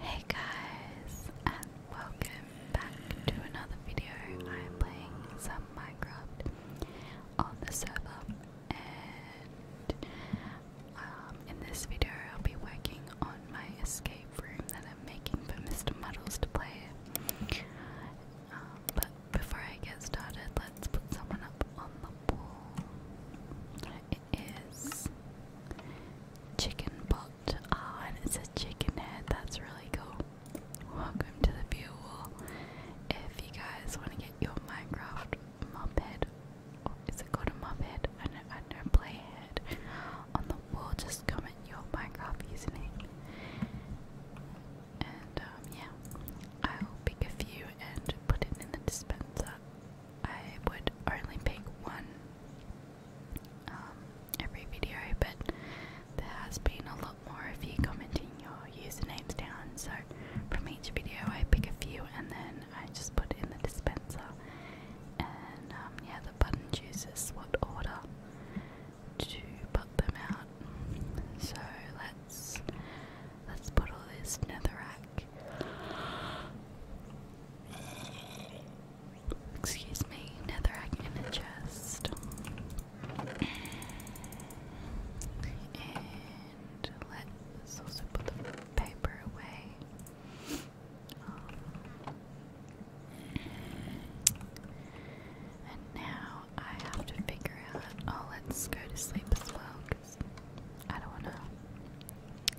Hey guys, and welcome back to another video. I'm playing some Minecraft on the server, and um, in this video, I'll be working on my escape room that I'm making for Mr. Muddles to play. Uh, but before I get started, let's put someone up on the wall is chicken pot. Ah, and it's a chicken head. That's really cool. Welcome to the view wall. If you guys want to get your Minecraft mob head, or is it called a mob head? I know, I know, play head on the wall. Just comment your Minecraft username. And um, yeah, I'll pick a few and put it in the dispenser. I would only pick one um, every video, but there has been a lot more of you commenting your usernames down. So from each video, I pick a few and then I just put in the dispenser. And um, yeah, the button chooses what order to put them out. So let's let's put all this netherrack. Excuse me, netherrack in a chest. And let's also put the paper away. Um, and now I have to figure out. Oh, let's go to sleep as well, because I don't wanna.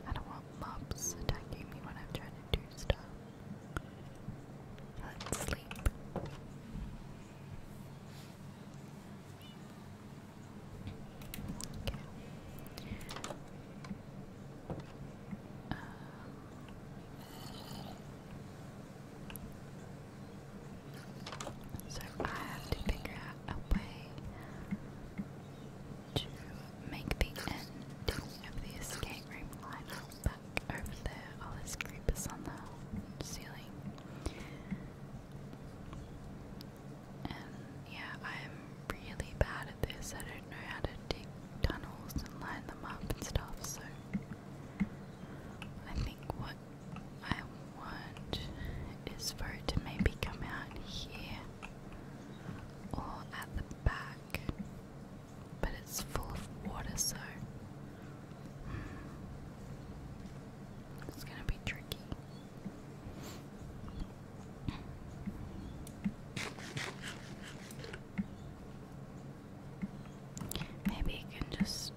I don't want want mobs attacking me when I'm trying to do stuff. Let's sleep. Okay. Uh, so I have to figure out a way to make the end of the escape room line up back over there. All oh, creepers on the ceiling. And um, yeah, I'm really bad at this. I don't know how to dig tunnels and line them up and stuff, so I think what I want is for it to maybe come out here or at the back, but it's full of water, so it's gonna be tricky. Maybe it can just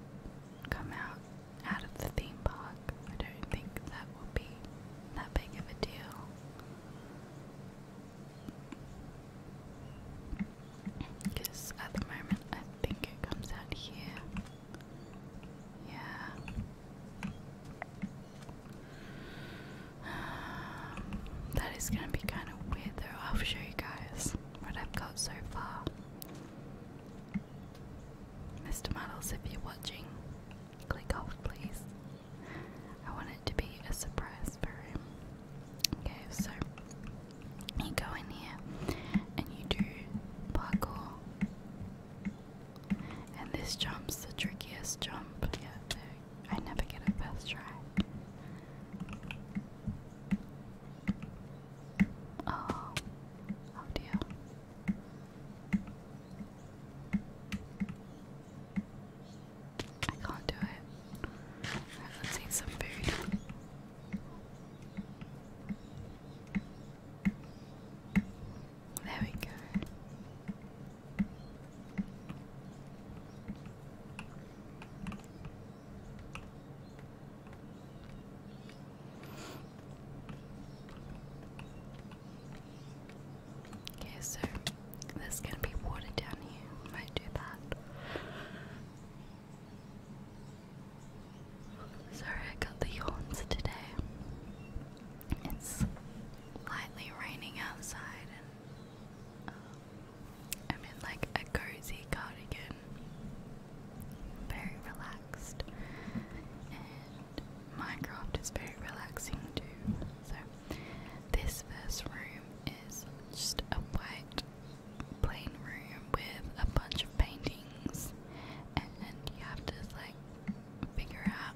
come out out of the theme park. I don't think that would be that big of a deal. Because at the moment I think it comes out here. Yeah. that is going to be kind of weird though. I'll show you guys what I've got so far. Mr. Models, if you're watching, Click off, please. I want it to be a surprise for him. Okay, so you go in here and you do parkour. And this jump's the trickiest jump. Yeah, I never get it first try. Oh, oh dear. I can't do it. let's eat some food. There we go. Okay, so there's gonna be water down here. might do that. Sorry, I got the yawns today. It's lightly raining outside, and um, I'm in like a cozy cardigan, very relaxed, and Minecraft is very relaxing too. So this first room is just a white plain room with a bunch of paintings and you have to like figure out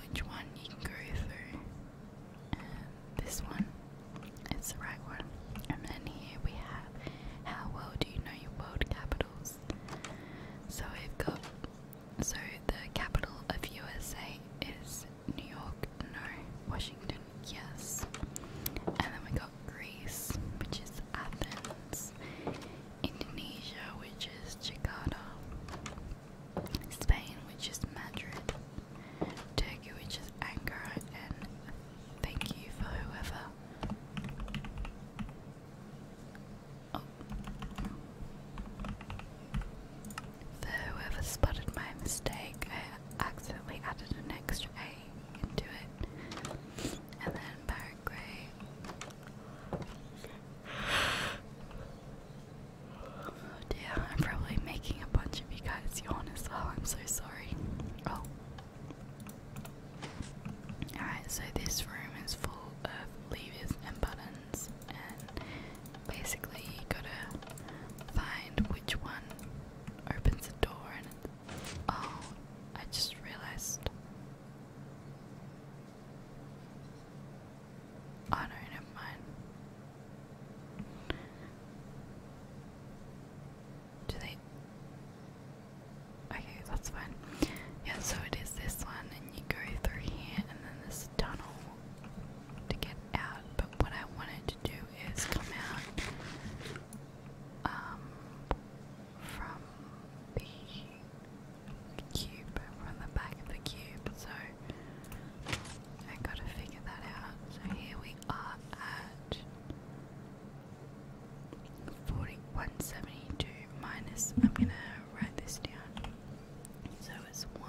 which one you can go through. And this one is the right one. And then here we have how well do you know your world capitals? So we've got so the capital of USA is New York, no. Washington, yes. And then we got Greece, which is Athens. Indonesia, which is Jakarta. Spain, which is Madrid. Turkey, which is Ankara. And thank you for whoever. Oh. For whoever spotted my mistake, I accidentally added an extra A into it. And then Barrett Grey. Oh dear, I'm probably making a bunch of you guys yawn as well, I'm so sorry. Oh. Alright, so this room is full of levers and buttons and basically you gotta find which one opens the door. And oh, I just realized. Oh no, never mind. Do they? Okay, that's fine. Yeah, so it is this one, and you go through here, and then this tunnel to get out, but what I wanted to do is come out um, from the cube, from the back of the cube, so I gotta figure that out. So here we are at 4172 minus, I'm gonna write this down. So it's 1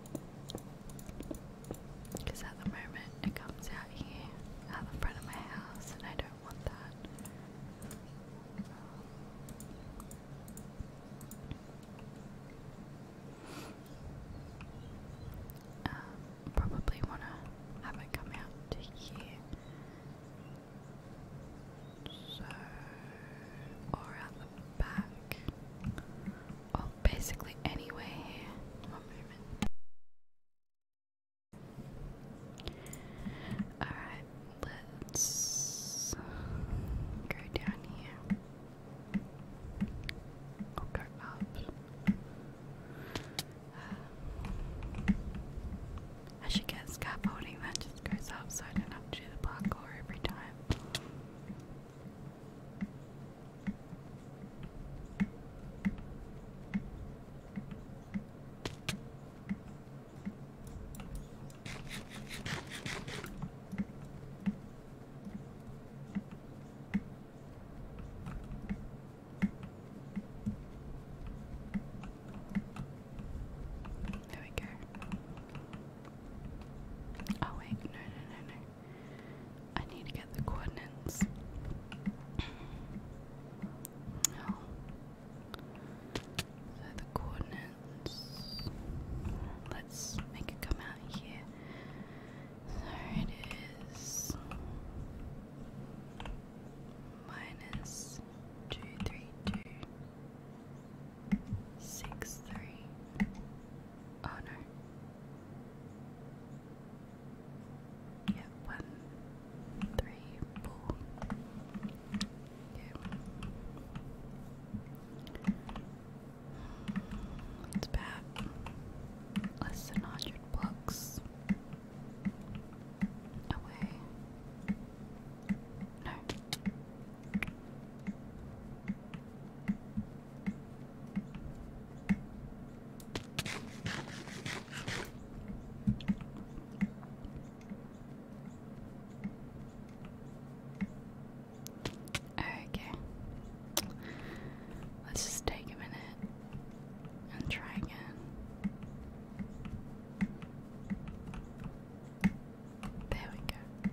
Because at the moment it comes out here at the front of my house, and I don't want that. Um, probably want to have it come out to here. So, or at the back well, oh, basically anyway, Alright, let's go down here. go up. Uh, I should get scaffolding that just goes up so I don't have to do the parkour every time. There we go. Oh wait, no, no, no, no. I need to get the coordinates. No. Oh. the coordinates. Let's make it come out here. So it is minus two three two six three Oh no. Yeah, one, three, four. Yeah. It's less than 100 blocks away. No. Okay. Let's just take a minute and try again. There we go.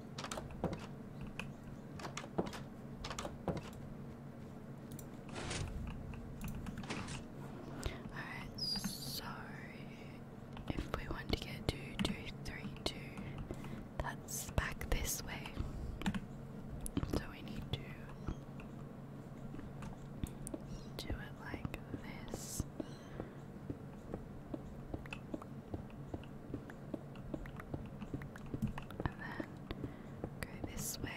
Alright, so if we want to get two, two, three, two, that's back this way. So we need to do it like this. And then go this way.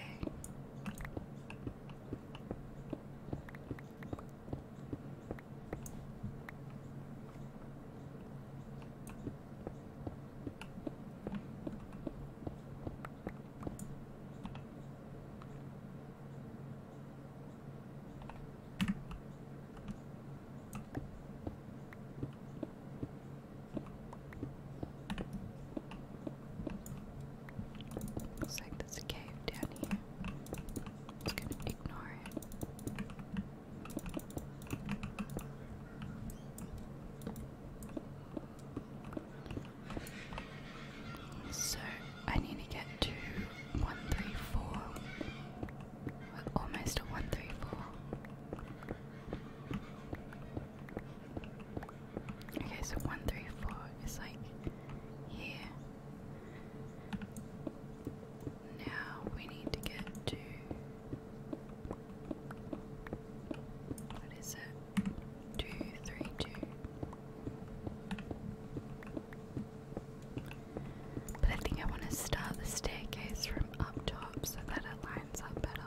Looks like there's a cave down here. just gonna ignore it. So I need to get to one three four almost one three four. Okay, so one three four is like here. Now we need to get to what is it? Two three two. But I think I want to start the staircase from up top so that it lines up better.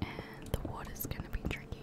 And the water's going to be tricky.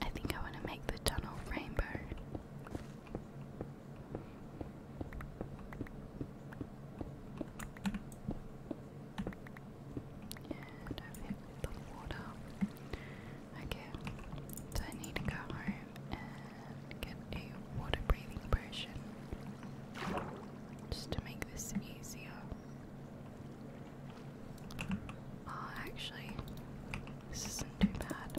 I think I want to make the tunnel rainbow. And i hit the water. Okay, so I need to go home and get a water breathing potion just to make this easier. Oh, actually, this isn't too bad.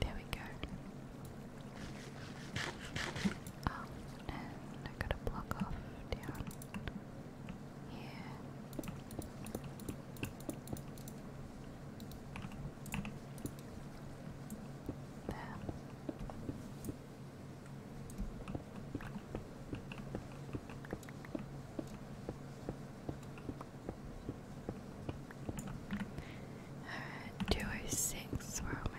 There we go. Oh, and I gotta block off down here. There. Alright, 206, we're almost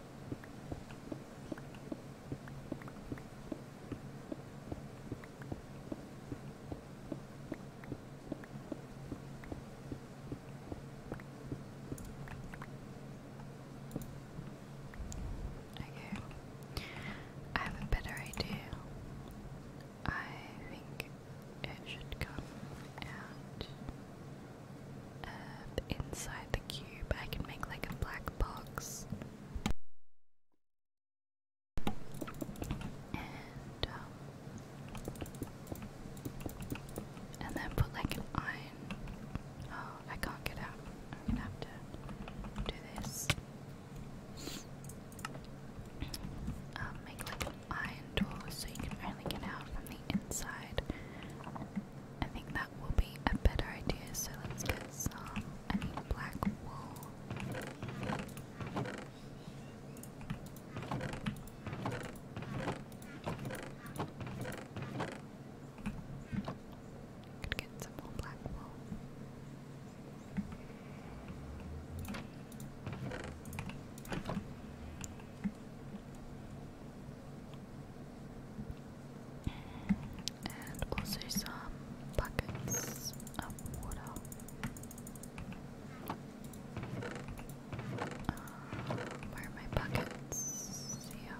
Okay, I have a better idea. I think it should come out inside the cube I can make like a black box. Um, and then put like an iron. Oh, I can't get out. I'm gonna have to do this. Um, make like iron door so you can only get out from the inside. I think that will be a better idea, so let's get some. black wool. Could get some black wool and also some buckets of water. Uh, where are my buckets? Here.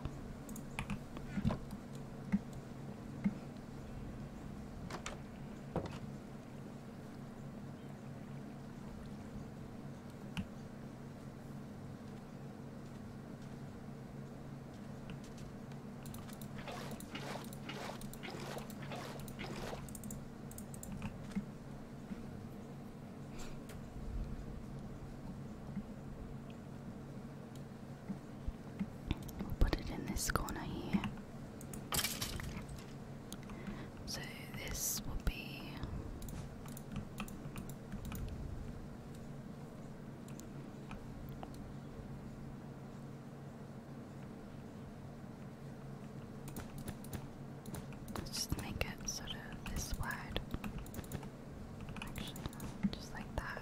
We'll put it in this corner here. So this will be Let's just make it sort of this wide. Actually, just like that.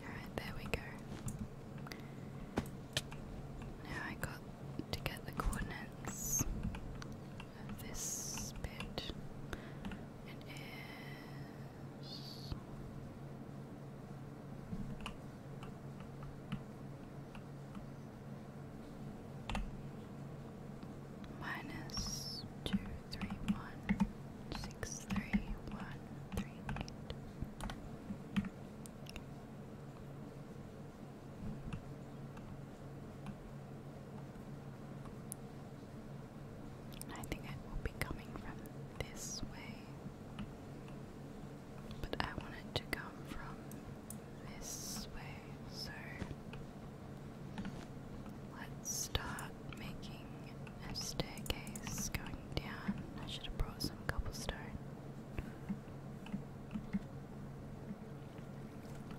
Alright, there we go. Now I got to get the coordinates of this bit minus two three one six three one three eight. I think it will be coming from this way, but I want it to come from this way, so Let's start making a staircase going down. I should have brought some cobblestone.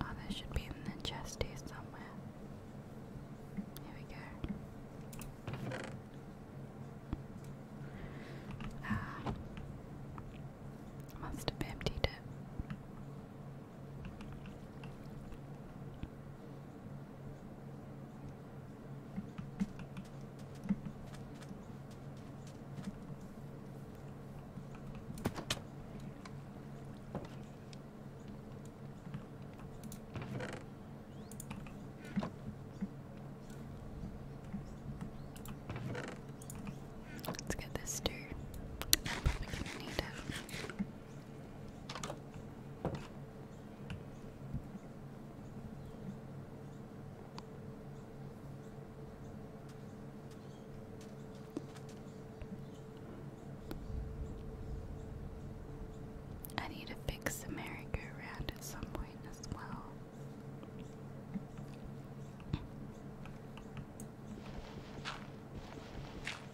Oh, there should be in the chest somewhere. Here we go. Ah, must have emptied it. Let's get this too. I'm probably gonna need it. I need to fix America around at some point as well.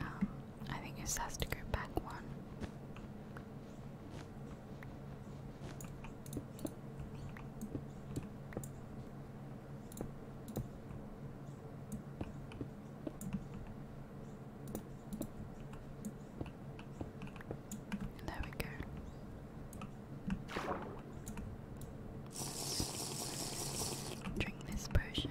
Um, I think it has to go back one. There we go. Drink this potion.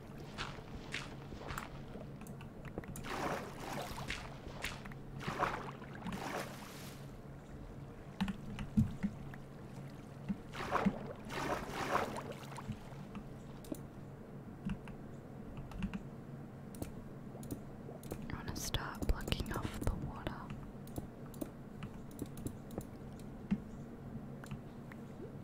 I want to start blocking off the water.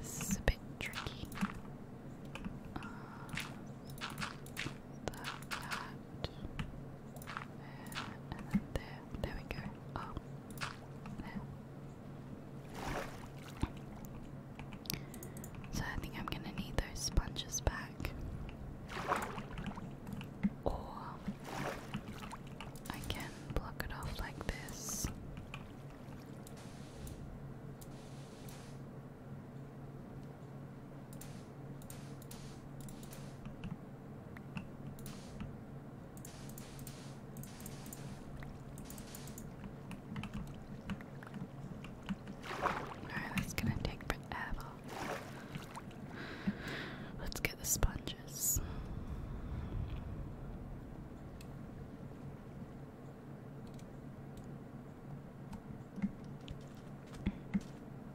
This is a bit tricky. Uh, that, and there. There we go. Oh. There. So I think I'm gonna need those sponges back. Or I can block it off like this. Alright, that's gonna take forever. Let's get the sponges.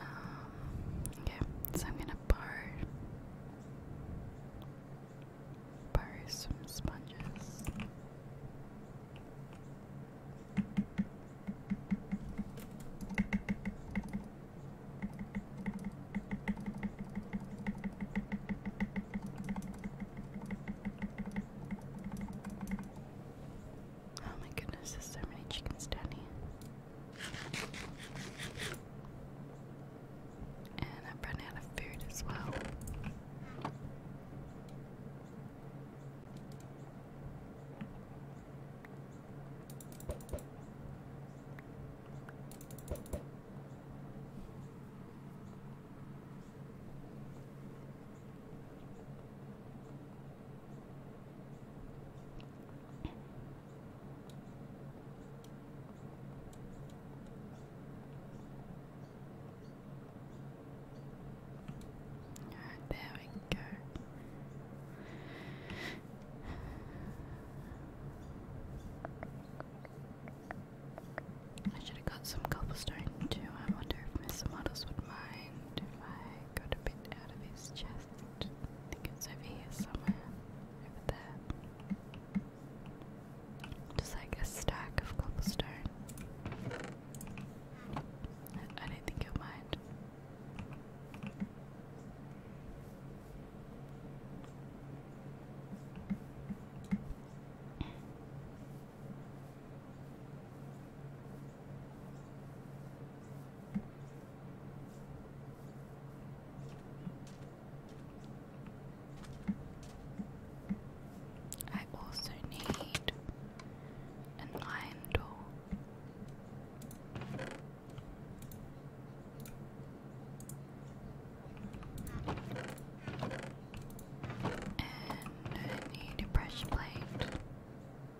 Um, okay, so I'm gonna borrow borrow some sponges. Oh my goodness, there's so many chickens down here. And I've run out of food as well there we go. I should have got some cobblestone too. I wonder if Mr. Models would mind if I got a bit out of his chair. I think it's over here somewhere. Over there. Just like a stack of cobblestone. I don't think you'll mind. I also need an iron door. I need a brush plate.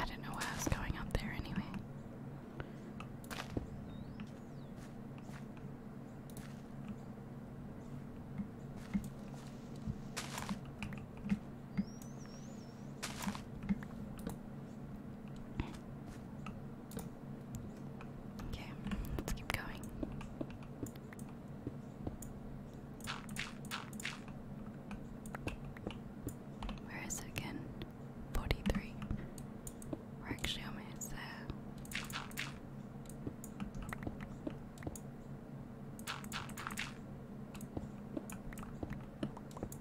I do not know why I was going up there anyway. Okay, let's keep going. Where is it again? 43. We're actually almost there.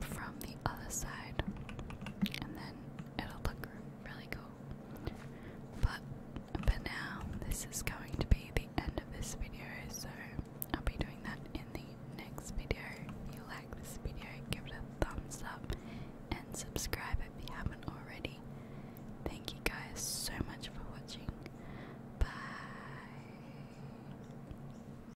from the other side, and then it'll look really cool. But but now, this is going to be the end of this video, so I'll be doing that in the next video. If you like this video, give it a thumbs up and subscribe if you haven't already. Thank you guys so much for watching. Bye.